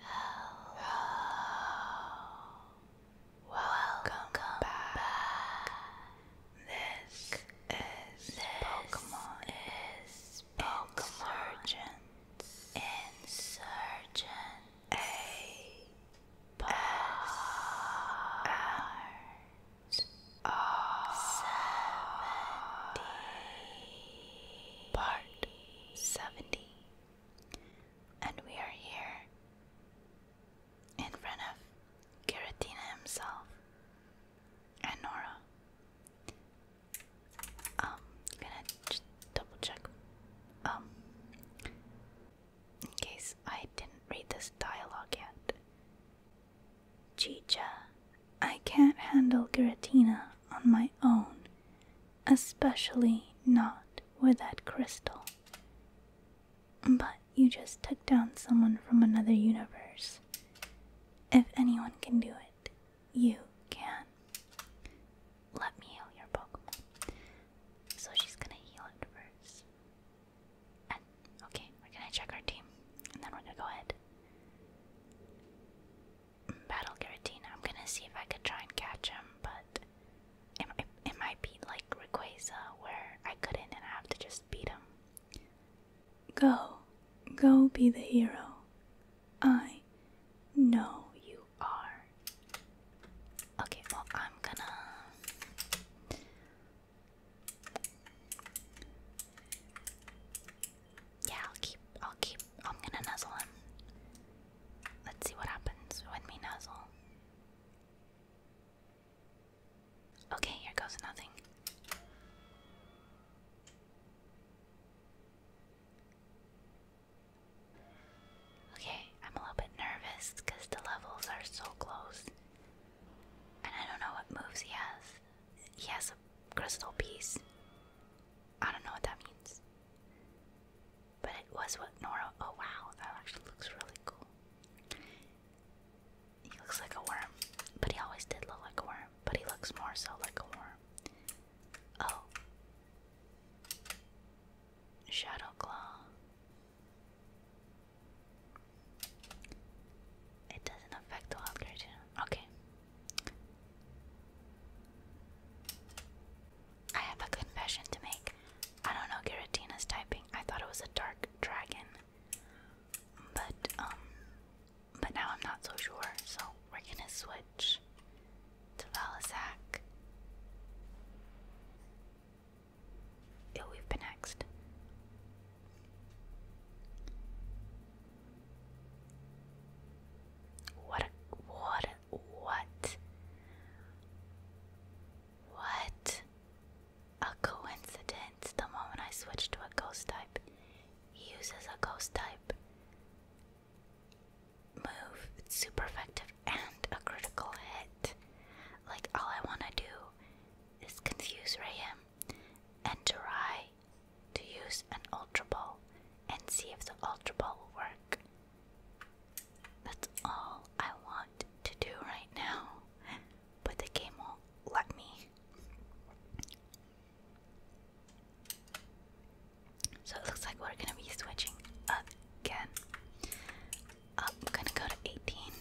Hello. Welcome, back. This, is Pokemon is Pokemon Insurgent Insurgent A Part seventy. And we are here in front of Giratina himself and Nora. Um, gonna double check. Um, in case I didn't read this dialogue yet. Chicha, I can't handle Giratina on my own, especially not with that crystal. But you just took down someone from another universe. If anyone can do it, you can. Let me heal your Pokemon. So she's gonna heal it okay, we're gonna check our team, and then we're gonna go ahead. Battle Giratina. I'm gonna see if I could try and catch him, but it, might be like Rayquaza, where I couldn't and I have to just beat him. Go, go be the hero. I know you are. Okay, well, I'm gonna. Yeah, I'll keep. I'll keep. I'm gonna nuzzle him. Let's see what happens when we nuzzle. Okay, here goes nothing. Okay, I'm a little bit nervous because the levels are so close. And I don't know what moves he has. He has a crystal piece. I don't know what that means. But it was what Nora. Oh wow, that actually looks really cool. He looks like a worm, but he always did look like a worm, but he looks more so like a worm. Oh. Shadow Claw. It doesn't affect the algorithm. Okay. I have a confession to make. I don't know Giratina's typing. I thought it was a dark dragon. But um but now I'm not so sure, so we're gonna switch to Valisac. Ill we've been next. What what what? What? A coincidence. The moment I switch to a ghost type, he uses a ghost type move. super effective and a critical hit. Like, all I want to do is confuse Rayam and try to use an Ultra Ball and see if the Ultra Ball will work. That's all I want to do right now, but the game won't let me. So it looks like we're gonna be switching again. Oh, I'm gonna go to 18.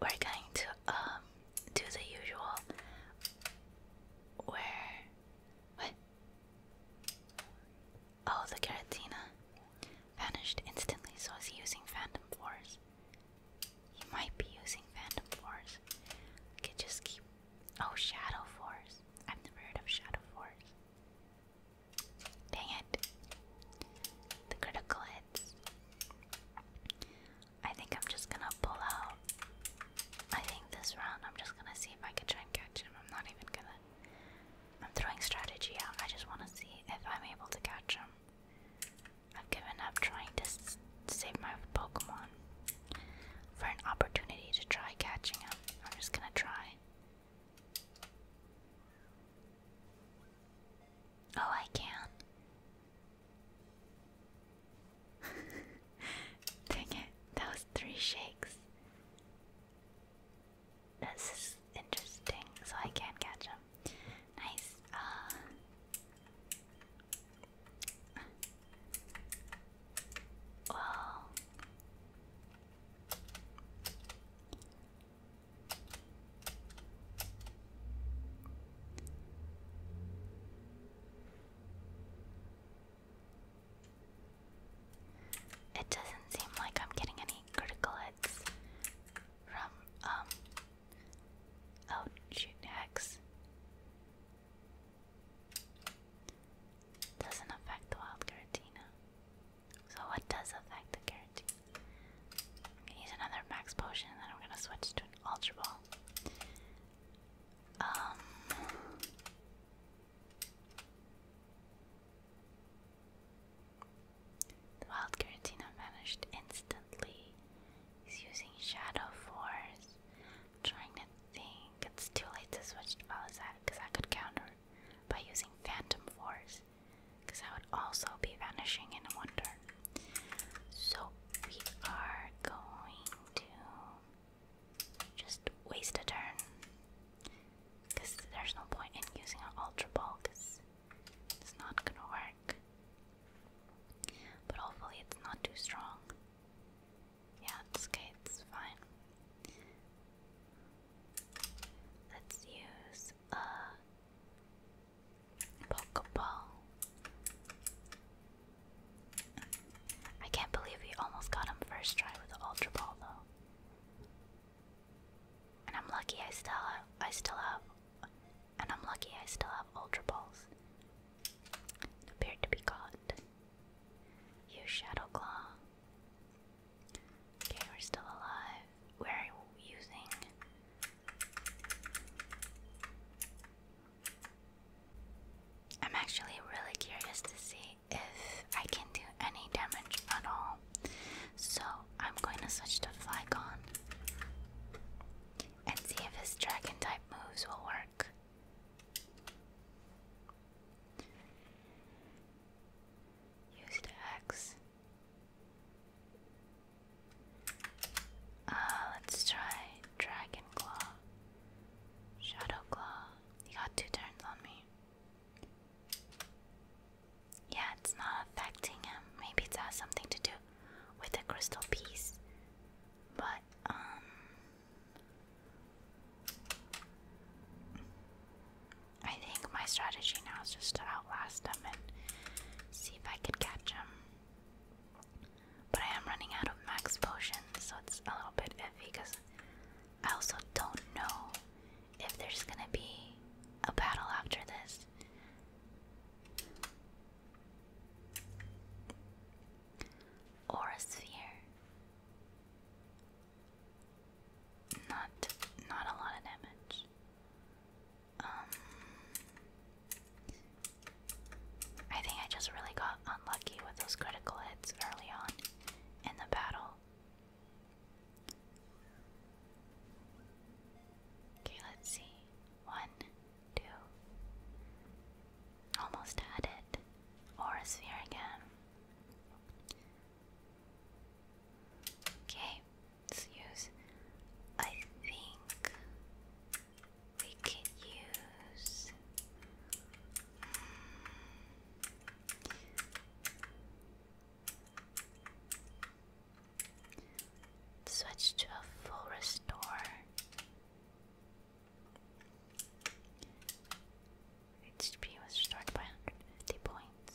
We're going to um do the usual where what Oh, the Garatina. Vanished instantly, so is he using Phantom Force? He might be using Phantom Force. Could just keep. Oh, Shadow Force. I've never heard of Shadow Force. Dang it. The critical hits. I think I'm just gonna pull out. I think this round I'm just gonna see if I can try and catch him. I'm not even gonna. I'm throwing strategy out. I just want to see if I'm able to catch him. I've given up trying to save my Pokemon for an opportunity to try catching him. I'm just gonna try. Oh, I can. Dang it, that was three shakes. This is interesting, so I can catch him. Nice. Uh, well, it doesn't seem like I'm getting any critical from um oh shoot doesn't affect the wild Giratina. So what does affect the Giratina? use another max potion and then I'm gonna switch to an ultra ball. Um the wild Giratina vanished instantly. He's using Shadow Force. trying to think. It's too late to switch to Palisade because I could counter by using Phantom Force because I would also be vanishing in a wonder. So we are going to just waste a turn because there's no point in using an Ultra Ball because it's not gonna work. But hopefully it's not too strong. Yeah, it's okay, it's fine. Let's use a Pokeball. I can't believe we almost got him first try with the Ultra Ball though. And I'm lucky I still have, I still have, and I'm lucky I still have Ultra Balls. Appeared to be caught. Use Shadow Claw. Okay, we're still alive. Where are using? I'm actually really curious to see if I can do any damage at all. So I'm going to switch to Flygon and see if his dragon type moves will work. Used X. Uh, let's try Dragon Claw. Shadow Claw. He got two turns on me. Yeah, it's not affecting him. Maybe it has something to do with the crystal piece. But, um. I think my strategy now is just to outlast them and see if I could catch them. But I am running out of max potions, so it's a little bit iffy because I also don't know if there's gonna be a battle after this. Or a sphere. Not not a lot of damage. Um I think I just really got unlucky with those critical hits early on in the battle. Okay, let's see. One, two. Almost had it. Or a sphere again. Okay, let's use. I think we could use. Hmm, Switch to a full restore. HP was restored by 150 points.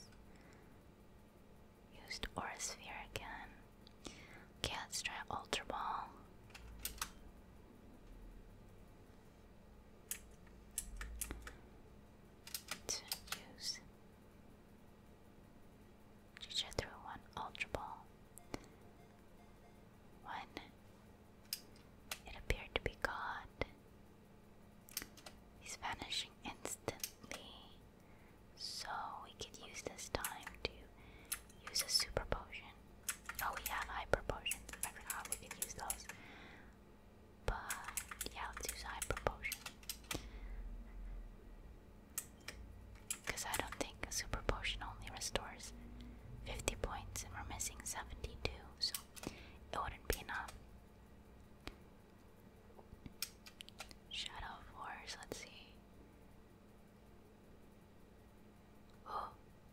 Used Aura Sphere again. Okay, let's try Ultra Ball. To use she Juju threw one Ultra Ball. One. It appeared to be God. He's vanishing instantly. So we could use this time to use a super potion. Oh, we have hyper potions. I forgot we could use those. But yeah, let's use hyper potion. Because I don't think a super potion only restores 50 points and we're missing 72, so it wouldn't be enough. Shadow of Wars, let's see. Oh,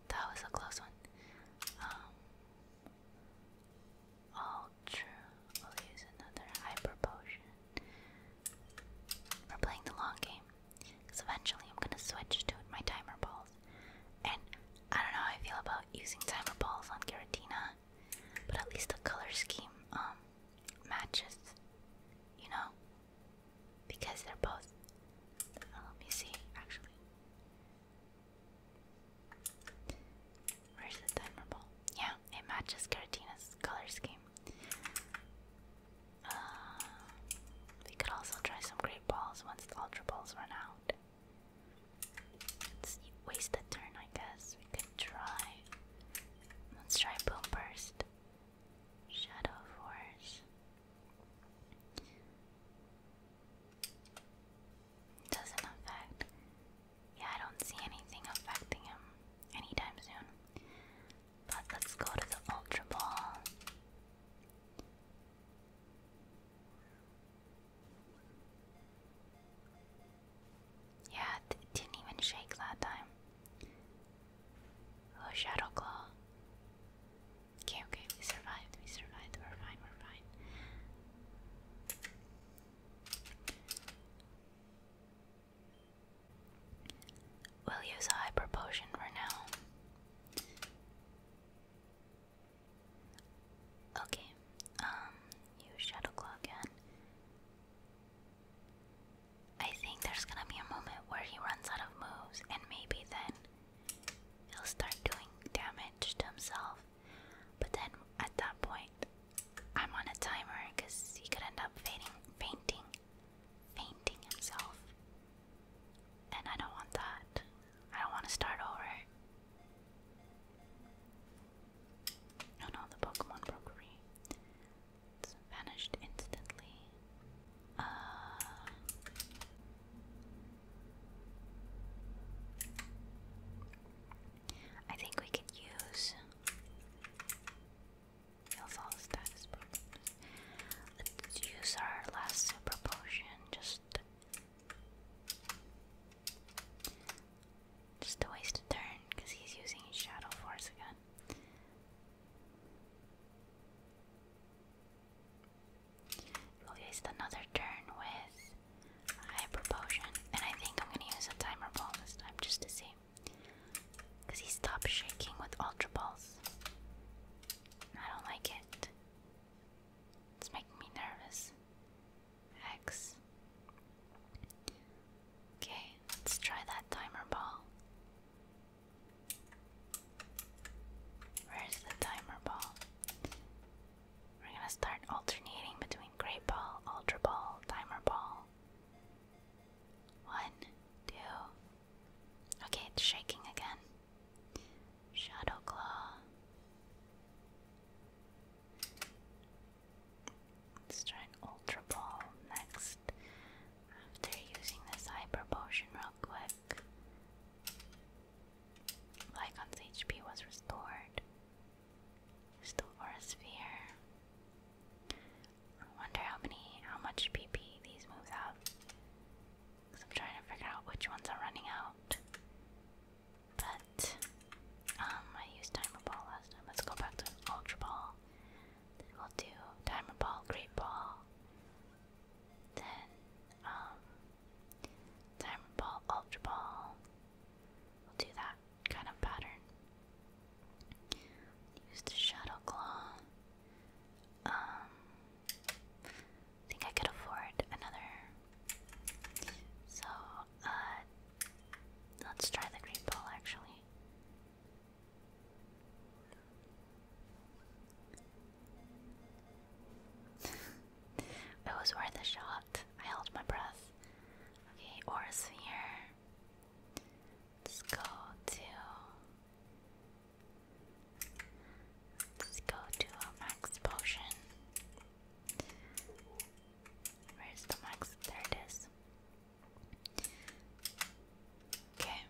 that was a close one. Um, oh, Vulture. We'll oh, use another Hyper Potion. We're playing the long game. Because eventually I'm going to switch to my Timer Balls. And I don't know how I feel about using Timer Balls on Giratina. But at least the color scheme um, matches. You know? Because they're both. Uh, let me see, actually. Where's the admirable? Yeah, it matches Caratina's color scheme. Uh, we could also try some great balls once the ultra balls run out. Let's waste a turn, I guess. We could try. Let's try boom burst. Shadow force. Doesn't affect. Yeah, I don't see anything affecting him anytime soon. But let's go to the Ultra Ball. Yeah, didn't even shake that time. Oh, Shadow Claw. Okay, okay, we survived, we survived, we're fine, we're fine. We'll use a hyper potion for now. Okay, um, use shadow claw again. I think there's gonna be a moment where he runs out of moves, and maybe then he'll start doing damage to himself. But then at that point, I'm on a timer because he could end up fainting, fainting, fainting himself. And I don't want that. I don't want to start over. Oh no, the Pokemon Brokery. vanished instantly. Uh. I think we could use Heals all status potions. use our last super potion just just to waste of turn because he's using his shadow force again. We'll waste another turn with a hyper potion, and I think I'm gonna use a timer ball this time just to see. Because he stopped shaking with Ultra Balls. I don't like it. It's making me nervous. X. Okay, let's try that timer ball. Where's the timer ball? We're gonna start alternating between Great Ball, Ultra Ball, Timer Ball. One, two. Okay, it's shaking again. Shadow Claw. Let's try an Ultra Ball next. After using this Hyper Potion real quick. Lycon's HP was restored. Restore a Sphere. I wonder how many, how much PP these moves have. Cause I'm trying to figure out which ones are running out. But um, I used timer ball last time. Let's go back to ultra ball. we'll do timer ball, great ball. Then um, timer ball, ultra ball. We'll do that kind of pattern. Use the shadow claw. Um, think I could afford another. So, uh, let's try the green ball actually. it was worth a shot. I held my breath. Okay, or sphere. Let's go to let go to a max potion. Where's the max? There it is. Okay,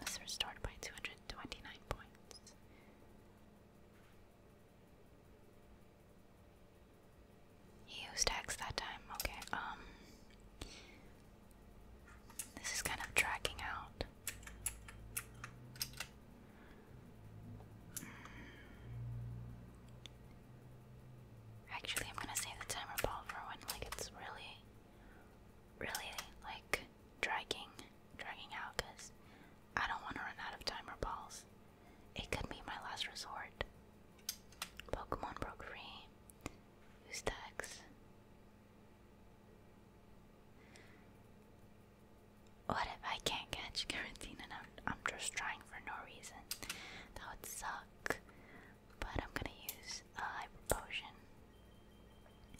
this restored by two hundred twenty-nine points. He used X that time. Okay, um. This is kind of dragging out. Actually, I'm gonna save the timer balls for when, like, it's really, really, like, dragging, dragging out, because I don't want to run out of timer balls. It could be my last resort. Pokemon broke free. Who's Dax? What if I can't catch Carantine and I'm, just trying for no reason? That would suck. But I'm gonna use a hyper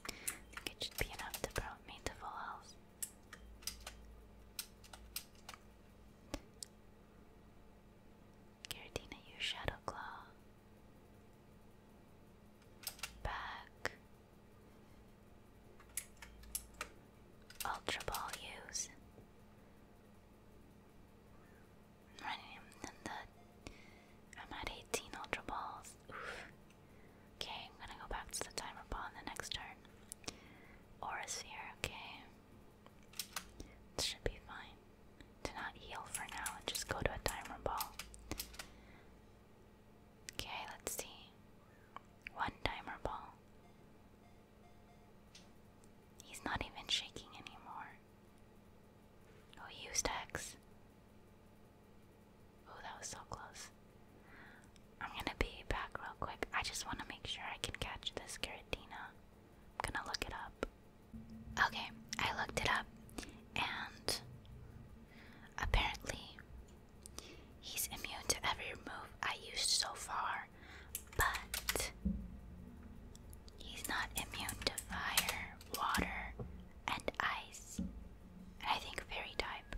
I think it should be enough to promote me to full health. Giratina, use Shadow Claw. Back. Ultra Ball, use. running the. I'm at 18 Ultra Balls. Oof. Okay, I'm gonna go back to the timer ball in the next turn. Aura okay. It should be fine to not heal for now and just go to a timer ball. Okay, let's see. One timer ball. He's not even shaking anymore. Oh, used X. Oh, that was so close. I'm gonna be back real quick. I just want to make sure I can catch this Giratina. I'm gonna look it up. Okay, I looked it up, and apparently he's immune to every move I used so far, but he's not immune to fire, water, and ice. I think fairy type.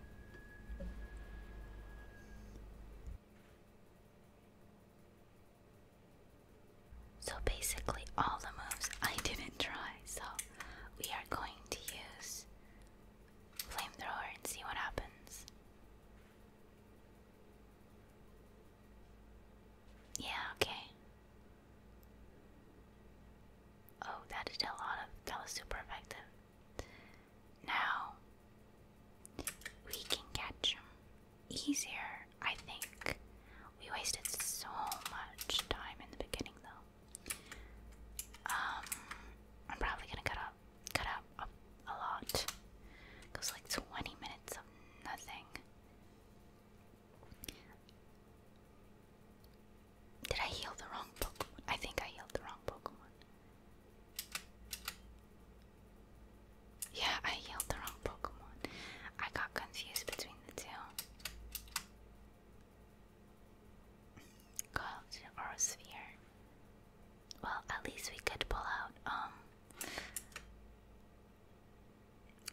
So basically, all the moves I didn't try, so we are going to use Flamethrower and see what happens. Yeah, okay. Oh, that did a lot of. That was super effective. Now we can catch him easier, I think. We wasted so much time in the beginning though. Um, I'm probably gonna cut up cut up a, a lot. Goes like twenty minutes of nothing. Did I heal the wrong Pokemon? I think I healed the wrong Pokemon. Yeah, I yelled the wrong Pokemon. I got confused between the two. Cult or Sphere. Well, at least we could pull out, um.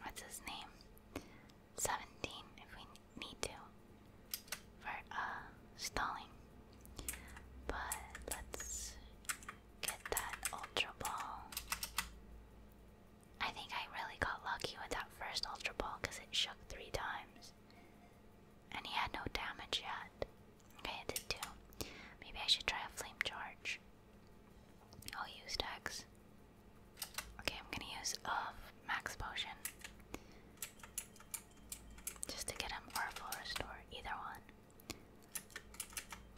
What's his name? 17 if we need to. For, uh, stalling. But let's get that Ultra Ball. I think I really got lucky with that first Ultra Ball because it shook three times. And he had no damage yet. Okay, it did too. Maybe I should try a Flame Charge. I'll use Dex. Okay, I'm gonna use uh, Max Potion. Just to get him or Full Restore, either one.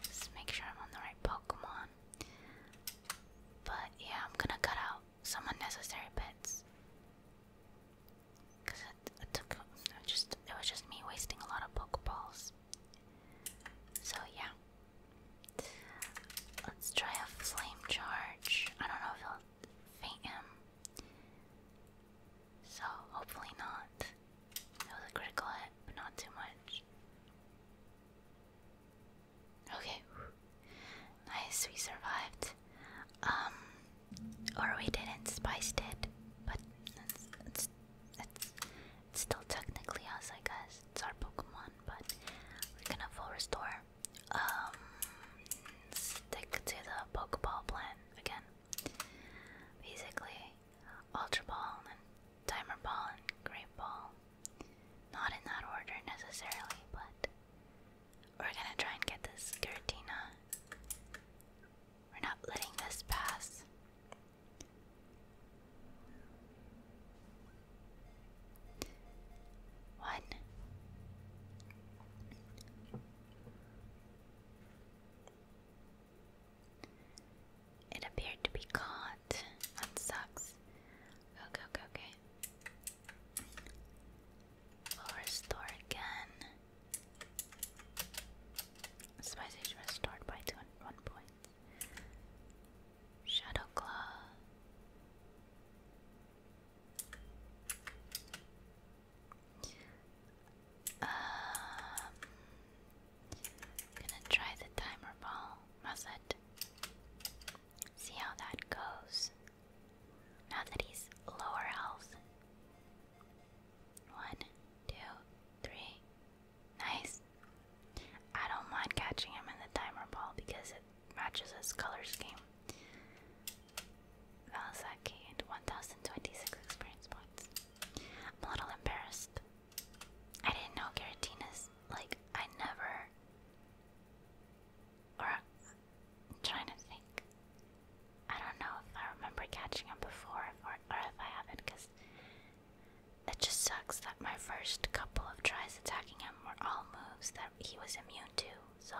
Just make sure I'm on the right Pokemon. But yeah, I'm gonna cut out some unnecessary bits. Cause it, took just it was just me wasting a lot of pokeballs. So yeah, let's try a flame charge. I don't know if it'll faint him. So hopefully not. It was critical hit, but not too much. Okay. Nice, we survived. Um, or we didn't. Spice did, but it's it's it's, still technically us, I guess. It's our Pokemon, but we're gonna full restore. Um, stick to the Pokeball plan again. Basically, Ultra Ball and Timer Ball and Great Ball. Not in that order necessarily, but we're gonna try and get this Giratina. We're not letting this pass. One. It appeared to be caught. That sucks. Okay, okay, okay. restore again. Spice restored by two one point. Shadow Claw. Um, gonna try the timer ball. Must See how that goes. Now that he's lower health. One, two, three. Nice. I don't mind catching him in the timer ball because it matches his color scheme. Valsaki and 1026 experience points. I'm a little embarrassed I didn't know Caratina's like I never or i trying to think. I don't know if I remember catching him before or, or if I haven't because it just sucks that my first couple of tries attacking him were all moves that he was immune to. So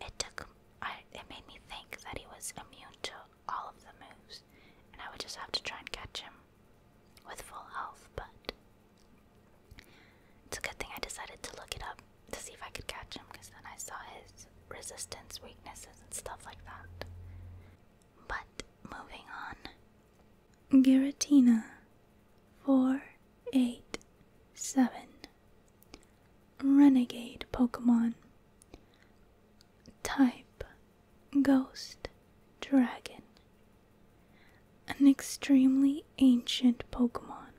it took I it made me think that he was immune to all of the moves and I would just have to try and catch him with full health, but it's a good thing I decided to look it up to see if I could catch him because then I saw his resistance, weaknesses, and stuff like that. But moving on. Giratina 487 Renegade Pokemon Type Ghost Dragon an extremely ancient Pokemon,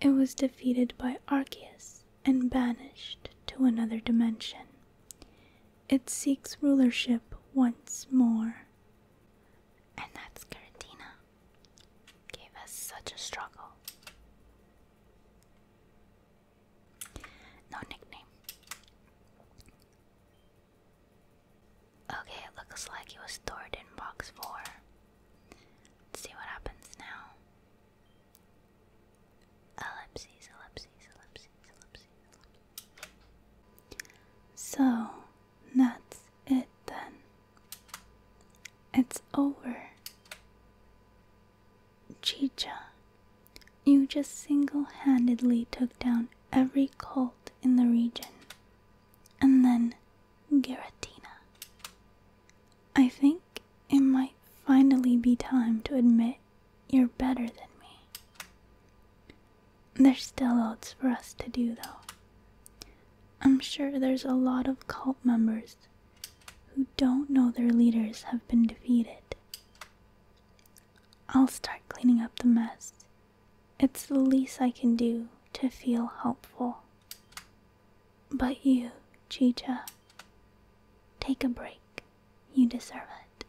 it was defeated by Arceus and banished to another dimension. It seeks rulership once more. And that's Giratina. Gave us such a struggle. No nickname. Okay, it looks like it was stored in box 4. see what happens now. So, that's it then. It's over. Chicha, you just single handedly took down every cult in the region. And then Giratina. I think it might finally be time to admit you're better than me. There's still lots for us to do, though. I'm sure there's a lot of cult members who don't know their leaders have been defeated. I'll start cleaning up the mess it's the least I can do to feel helpful. But you, Chicha, take a break. You deserve it.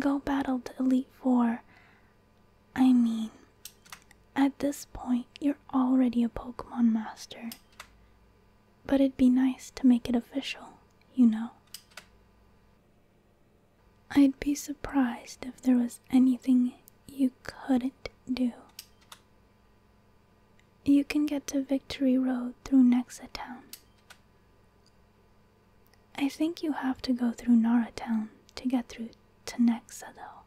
Go battle the Elite Four. I mean, at this point, you're already a Pokemon Master. But it'd be nice to make it official, you know. I'd be surprised if there was anything you couldn't do. You can get to Victory Road through Nexa Town. I think you have to go through Nara Town to get through to Nexa, though.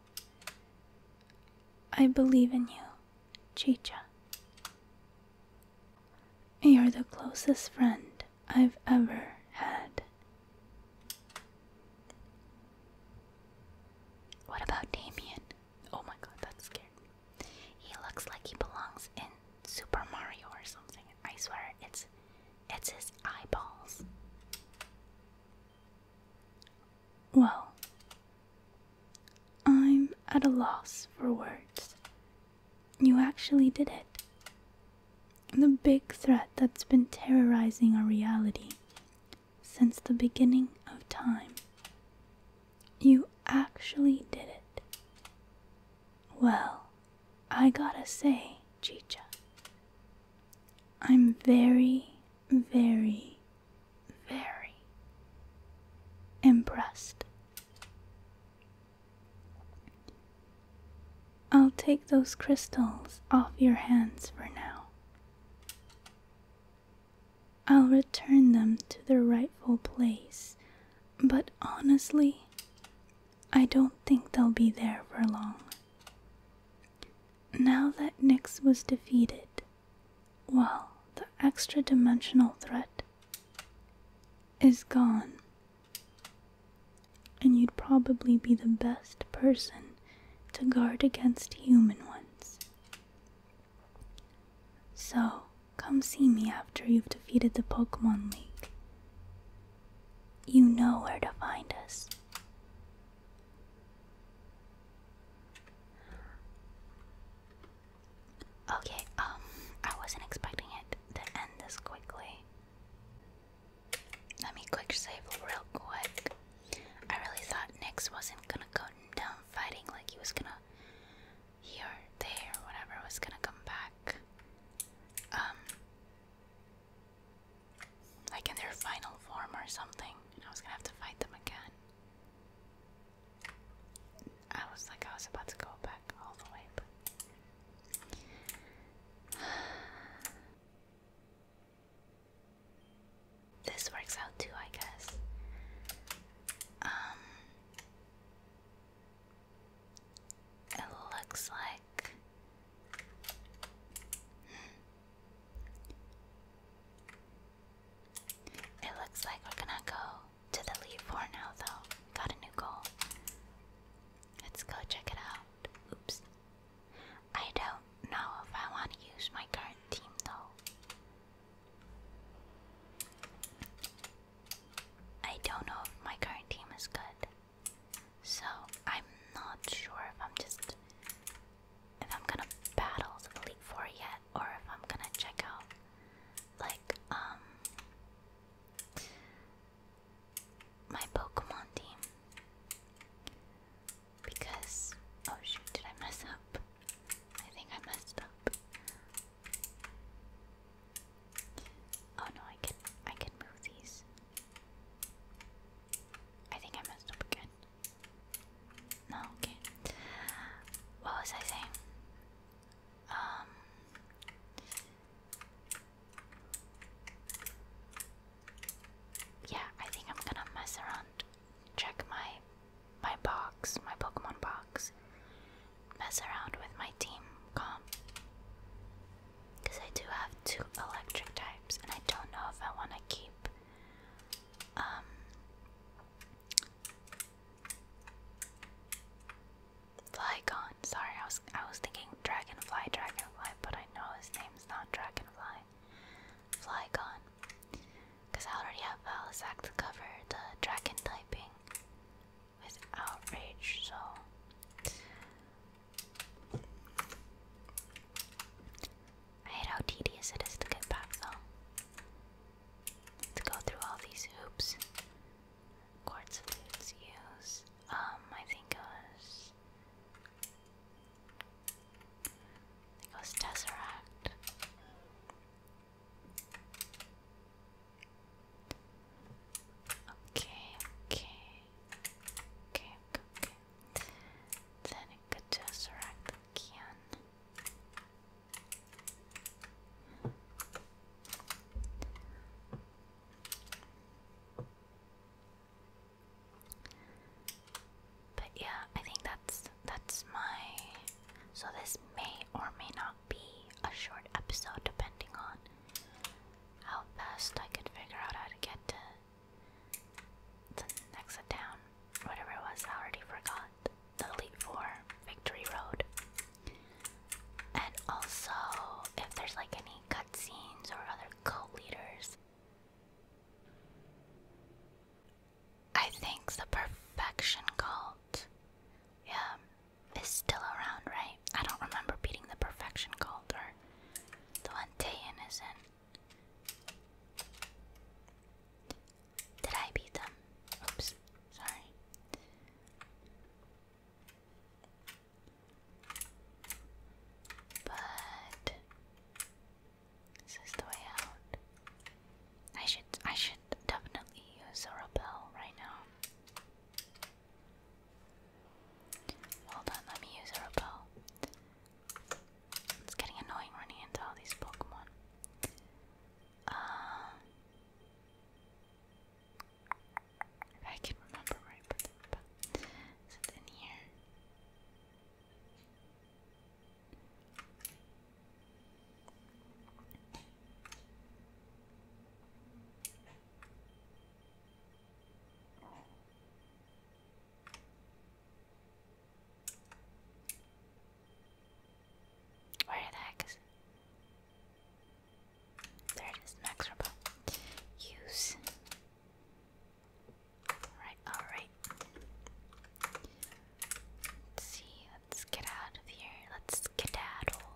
I believe in you, Chicha. You're the closest friend I've ever had. What about Damien? Oh my god, that's scary. He looks like he belongs in Super Mario or something. I swear it's it's his eyeballs. Well, I'm at a loss for words. You actually did it the big threat that's been terrorizing our reality since the beginning of time. You actually did it. Well, I gotta say, Chicha, I'm very, very, very impressed. I'll take those crystals off your hands for now. I'll return them to their rightful place, but honestly, I don't think they'll be there for long. Now that Nix was defeated, well, the extra dimensional threat is gone and you'd probably be the best person to guard against human ones. So, come see me after you've defeated the Pokemon League. You know where to find us. Okay, um, I wasn't expecting it to end this quickly. Let me quick save real quick. I really thought Nix wasn't gonna go down fighting, like he was gonna here, there, whatever was gonna come back. Um like in their final form or something, and I was gonna have to fight them again. I was like I was about to go back all the way, This works out too, I guess. Um, it looks like it looks like we're gonna go to the lead now, though. Got a new goal. Let's go check it out. Oops. I don't know if I want to use my current team though. I don't know if my current team is good. So I'm not sure if I'm just if I'm gonna battle the Elite Four yet or if I'm gonna check out like um my Pokemon team. Because oh shoot, did I mess up? I think I messed up. Oh no, I can I can move these. I think I messed up again. No, okay. What was I saying? Um yeah, I think I'm gonna mess around, check my my box, my Pokemon box, mess around with my team comp. Because I do have two electric types, and I don't know if I want to keep um, Flygon. Sorry, I was I was thinking Dragonfly, Dragonfly, but I know his name's not Dragonfly. Fly gone. Because I already have Valisac to cover the dragon typing with Outrage, so. I hate how tedious it is to get back though. To go through all these hoops. Quartz of use. Um, I think it was there goes Tesseract. Okay, okay. Okay, okay, Then it could Tesseract but yeah, I think that's that's my so this may or may not be a short episode depending on how fast I can figure out how to get to the next town. Whatever it was, I already forgot. The Elite Four Victory Road. And also if there's like any cutscenes or other cult leaders. I think the perfection cult, yeah, is still around, right? I don't remember beating the perfection cult or the Lantean isn't. Did I beat them? Oops, sorry. But this is the way out. I should I should definitely use a repel right now. Hold on, let me use a repel. It's getting annoying running into all these Pokemon. Um if I can remember where I put but is it in here? Where the heck is it? There it is, Max Robot. Use Alright, alright. Let's see, let's get out of here. Let's skedaddle.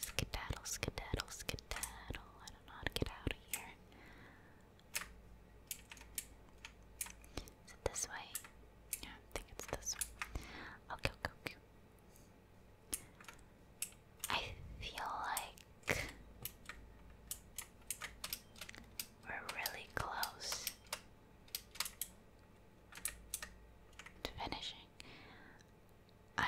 Skedaddle, skedaddle, skedaddle. I don't know how to get out of here. Is it this way? No, I think it's this one. Okay, okay, okay. I feel like we're really close to finishing. I'm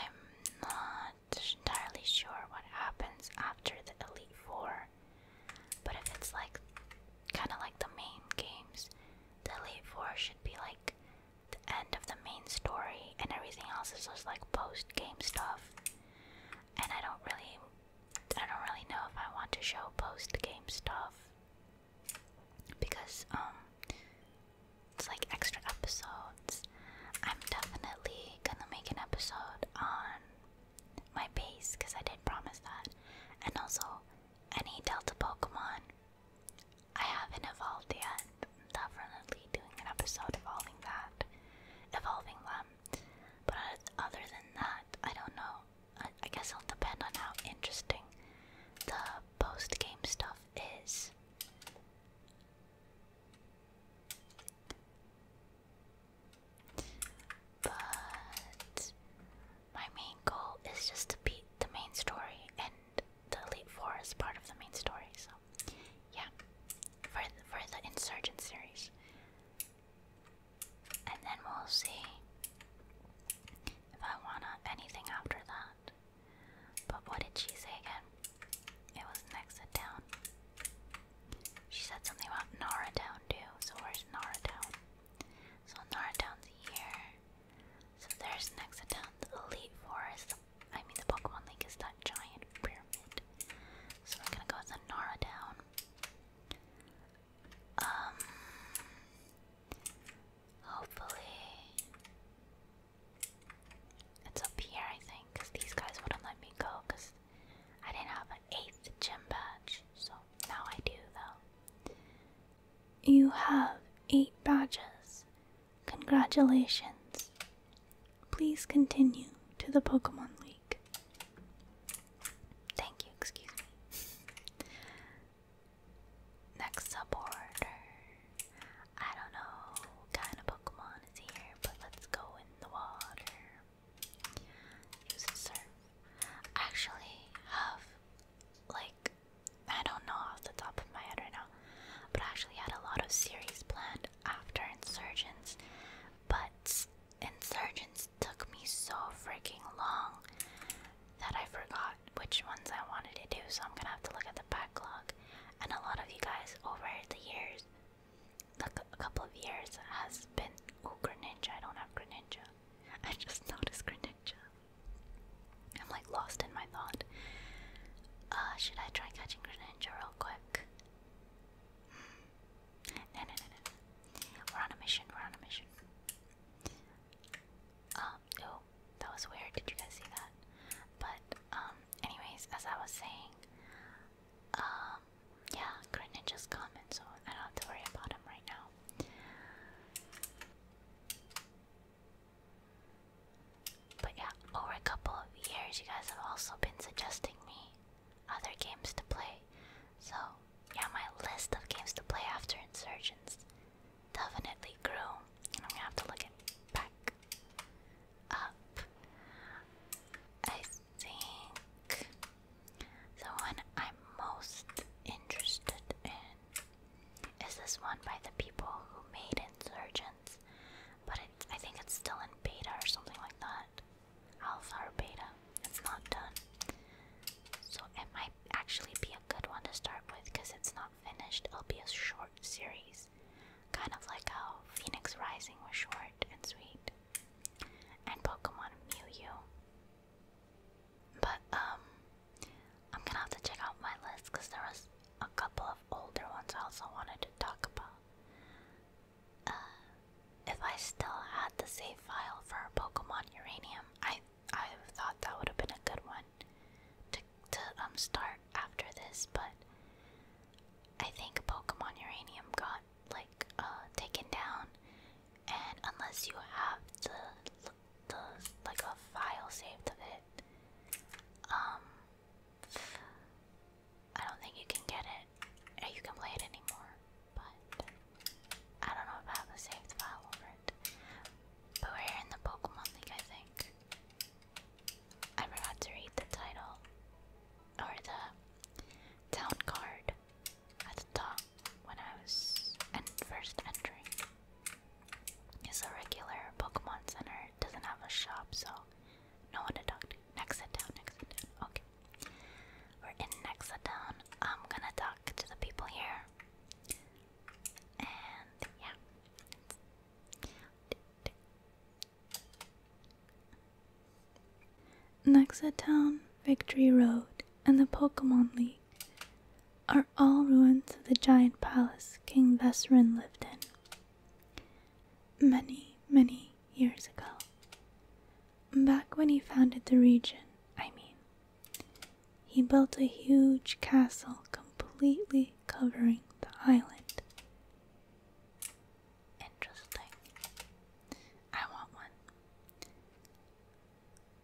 not entirely sure what happens after the Elite Four, but if it's like kind of like the main games, the Elite Four should be like the end of the main story, and everything else is just like post game stuff and I don't really, I don't really know if I want to show post-game stuff because um, it's like extra episodes. I'm definitely gonna make an episode on my base because I did promise that, and also any Delta Pokemon I haven't evolved yet definitely doing an episode evolving that, evolving them. But other than that, I don't know. I, guess it'll depend on how interesting the post game stuff is. But my main goal is just to beat the main story, and the Elite Four is part of the main story, yeah, for for the Insurgent series, and then we'll see if I want to anything after that. But what did she say again? It was next to town. She said something about Nara Town too. So where's Nara Town? So Nara Town's here. So there's next to town, the Elite Forest, the I mean the Pokemon League is that giant pyramid. So I'm gonna go with the Nara down. Um hopefully it's up here I think, because these guys wouldn't let me go because I didn't have an eighth gym badge, so now I do though. You have eight badges. Congratulations. Please continue to the Pokemon League. Thank you, excuse me. Next supporter. I don't know kind of Pokemon is here, but let's go in the water. Use surf. actually have, like, I don't know off the top of my head right now, but I actually had a lot of series planned after Insurgents, but Insurgents took me so freaking long that I forgot which ones I wanted to do, so I'm gonna have to look at the backlog. And a lot of you guys over the years, look, a couple of years has been. Oh, Greninja! I don't have Greninja. I just noticed Greninja. I'm like lost in my thought. Uh, should I try catching Greninja real quick? No, no, no, no, We're on a mission. We're on a mission. oh, that was weird. Did you guys see that? But, um, anyways, as I was saying, um, yeah, Grin just comment, so I don't have to worry about him right now. But yeah, over a couple of years, you guys have also been suggesting me other games to play. So, yeah, my list of games to play after Insurgents definitely grew. And I'm gonna have to look it back up. I think the one I'm most interested in is this one by the people who made Insurgents, but it, I think it's still in beta or something like that alpha or beta. It's not done. So it might actually be a good one to start with because it's not finished. It'll be a short series. Kind of like how Phoenix Rising was short and sweet. And Pokemon Mew. But um I'm gonna have to check out my list because there was a couple of older ones I also wanted to talk about. Uh, if I still had the save file for Pokemon Uranium, I I thought that would have been a good one to to um start after this, but I think Pokemon Uranium got like uh, taken down, and unless you have the the like a file saved of it, um I don't think you can get it, or you can play it anymore, but I don't know if I have file over it. But we're in the Pokemon League, I think. I forgot to read the title, or the town card at the top when I was first entering. It's a regular Pokemon Center, it doesn't have a shop, so no one to talk to. Nexa Town, Okay. We're in Nexa I'm gonna talk to the people here. And yeah. Nexa Town, Victory Road, and the Pokemon League are all ruins of the giant palace King Vesrin lived in. Many, many years ago. Back when he founded the region, I mean. He built a huge castle completely covering the island. Interesting. I want one.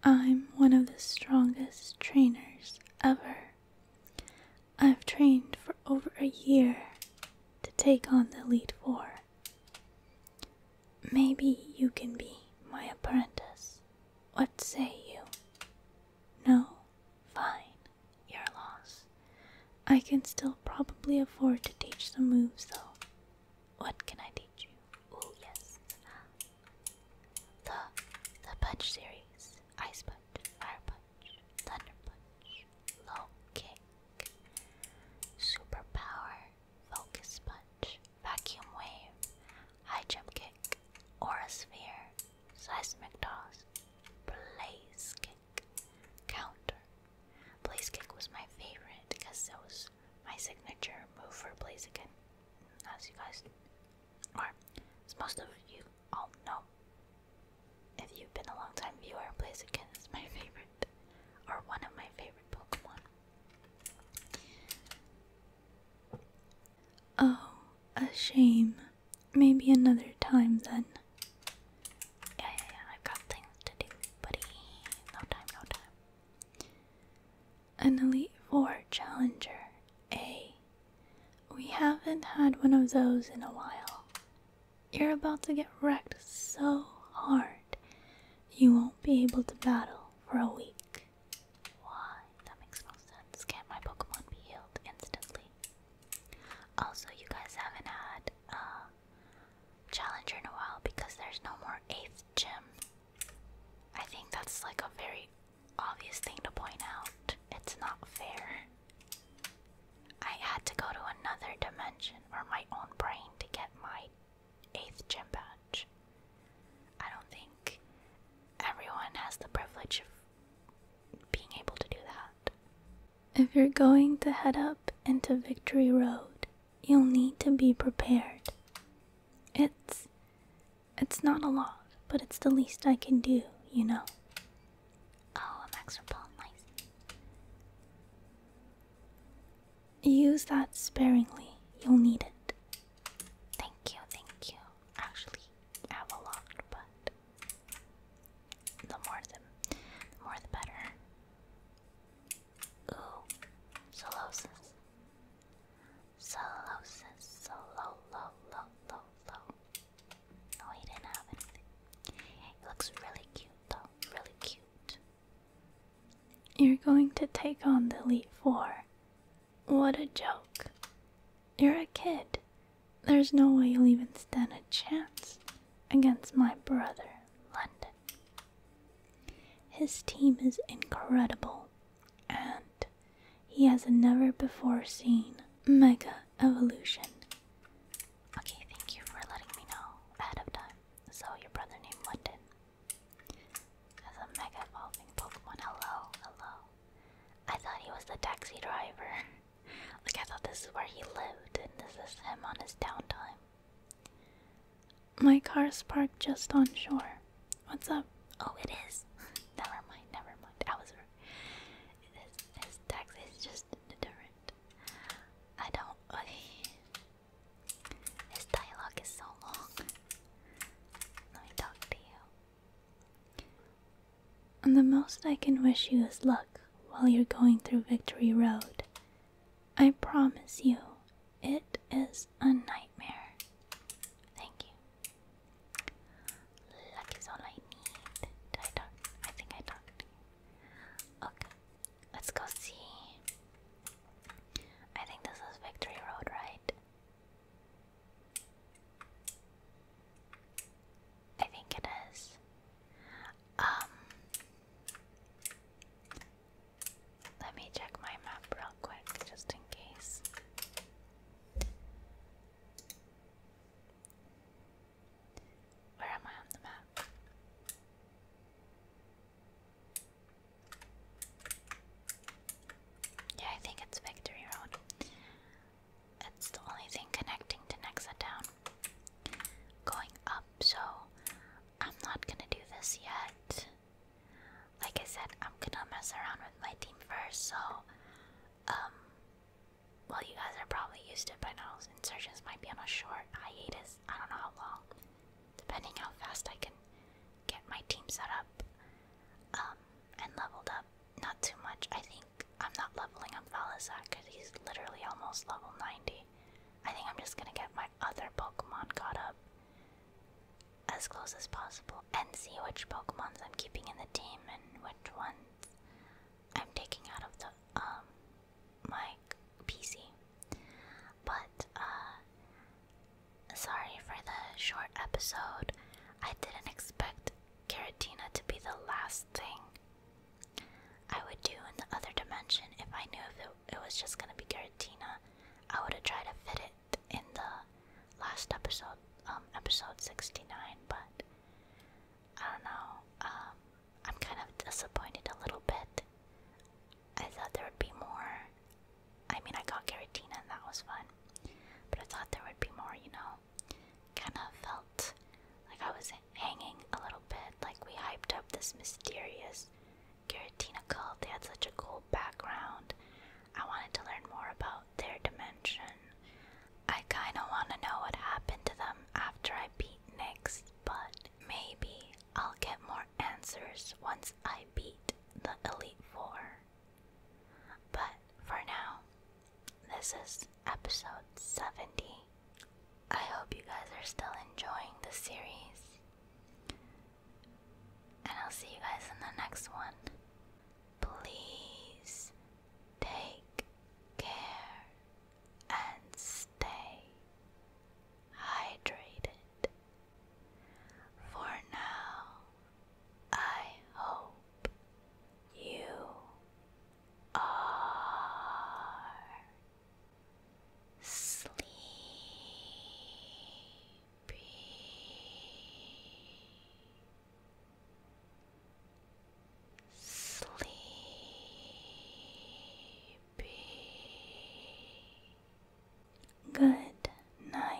I'm one of the strongest trainers ever. I've trained for over a year to take on the lead for. Maybe you can be my apprentice. What say you? No? Fine, your loss. I can still probably afford to teach the moves, though. What can I teach you? Oh, yes. The, the punch series. Ice punch, fire punch, thunder punch, low kick, superpower, focus punch, vacuum wave, high jump kick, aura sphere, seismic toss, blaze kick, counter. Blaze kick was my favorite because that was my signature move for blaze kick, as you guys, are, as most of you all know. If you've been a long time viewer, Blaziken is my favorite, or one of my favorite Pokemon. Oh, a shame. Maybe another time then. Yeah, yeah, yeah, I've got things to do, buddy. No time, no time. An Elite Four Challenger A. Eh? We haven't had one of those in a while. You're about to get wrecked so hard, you won't be able to battle for a week. Why? That makes no sense. Can't my Pokemon be healed instantly? Also, you guys haven't had a uh, challenger in a while because there's no more 8th gym. I think that's like a very obvious thing to point out. It's not fair. I had to go to another dimension or my own brain to get my 8th gym badge. I don't think everyone has the privilege of being able to do that. If you're going to head up into Victory Road, you'll need to be prepared. It's it's not a lot, but it's the least I can do, you know. Oh, a max repel, nice. Use that sparingly, you'll need it. Thank you, thank you. Actually, I have a lot, but the more the, more the better. Ooh, solosis. Solosis, solo, lo, lo, lo, No, oh, he didn't have anything. It looks really cute though really cute. You're going to take on the Elite Four. What a joke. You're a kid. There's no way you'll even stand a chance against my brother, London. His team is incredible, and he has a never before seen mega evolution. Okay, thank you for letting me know ahead of time. So, your brother named London has a mega evolving Pokemon. Hello, hello. I thought he was the taxi driver. like, I thought this is where he lived, and this is him on his downtime. My car's parked just on shore. What's up? Oh, it is. never mind, never mind. I was. His, taxi is just different. I don't. This dialogue is so long. Let me talk to you. And the most I can wish you is luck while you're going through Victory Road. I promise you, it is a nightmare. Thank you. Luck is all I need. Did I talk? I think I talked to you. Okay. Let's go see. I think this is Victory Road, right? I think it is. Um Let me check my map real quick just in case. Where am I on the map? Yeah, I think it's Victory Road. It's the only thing connecting to Nexa Town. Going up, so I'm not gonna do this yet. Like I said, I'm gonna mess around with my team first, so, um, well, you guys are probably used to it by now. Insurgents might be on a short hiatus. I don't know how long, depending how fast I can get my team set up um, and leveled up. Not too much. I think I'm not leveling up Valizak because he's literally almost level 90. I think I'm just gonna get my other Pokemon caught up as close as possible and see which Pokemons I'm keeping in the team and which ones I'm taking out of the um, my PC. But uh sorry for the short episode. I didn't expect Karatina to be the last thing I would do in the other dimension if I knew if it, was just gonna be Karatina. I would have tried to fit it in the last episode, um, episode 69, but I don't know. Um, I'm kind of disappointed a little bit. I thought there would be more. I mean, I got Garatina and that was fun, but I thought there would be more, you know? Kind of felt like I was hanging a little bit, like we hyped up this mysterious Garatina cult. They had such a cool background. I wanted to learn more about their dimension. I kinda wanna know what happened to them after I beat Nix, but Maybe I'll get more answers once I beat the Elite Four. But for now, this is episode 70. I hope you guys are still enjoying the series. And I'll see you guys in the next one. Please take care and stay hydrated. For now, I hope you are sleepy. Sleepy be. Good night.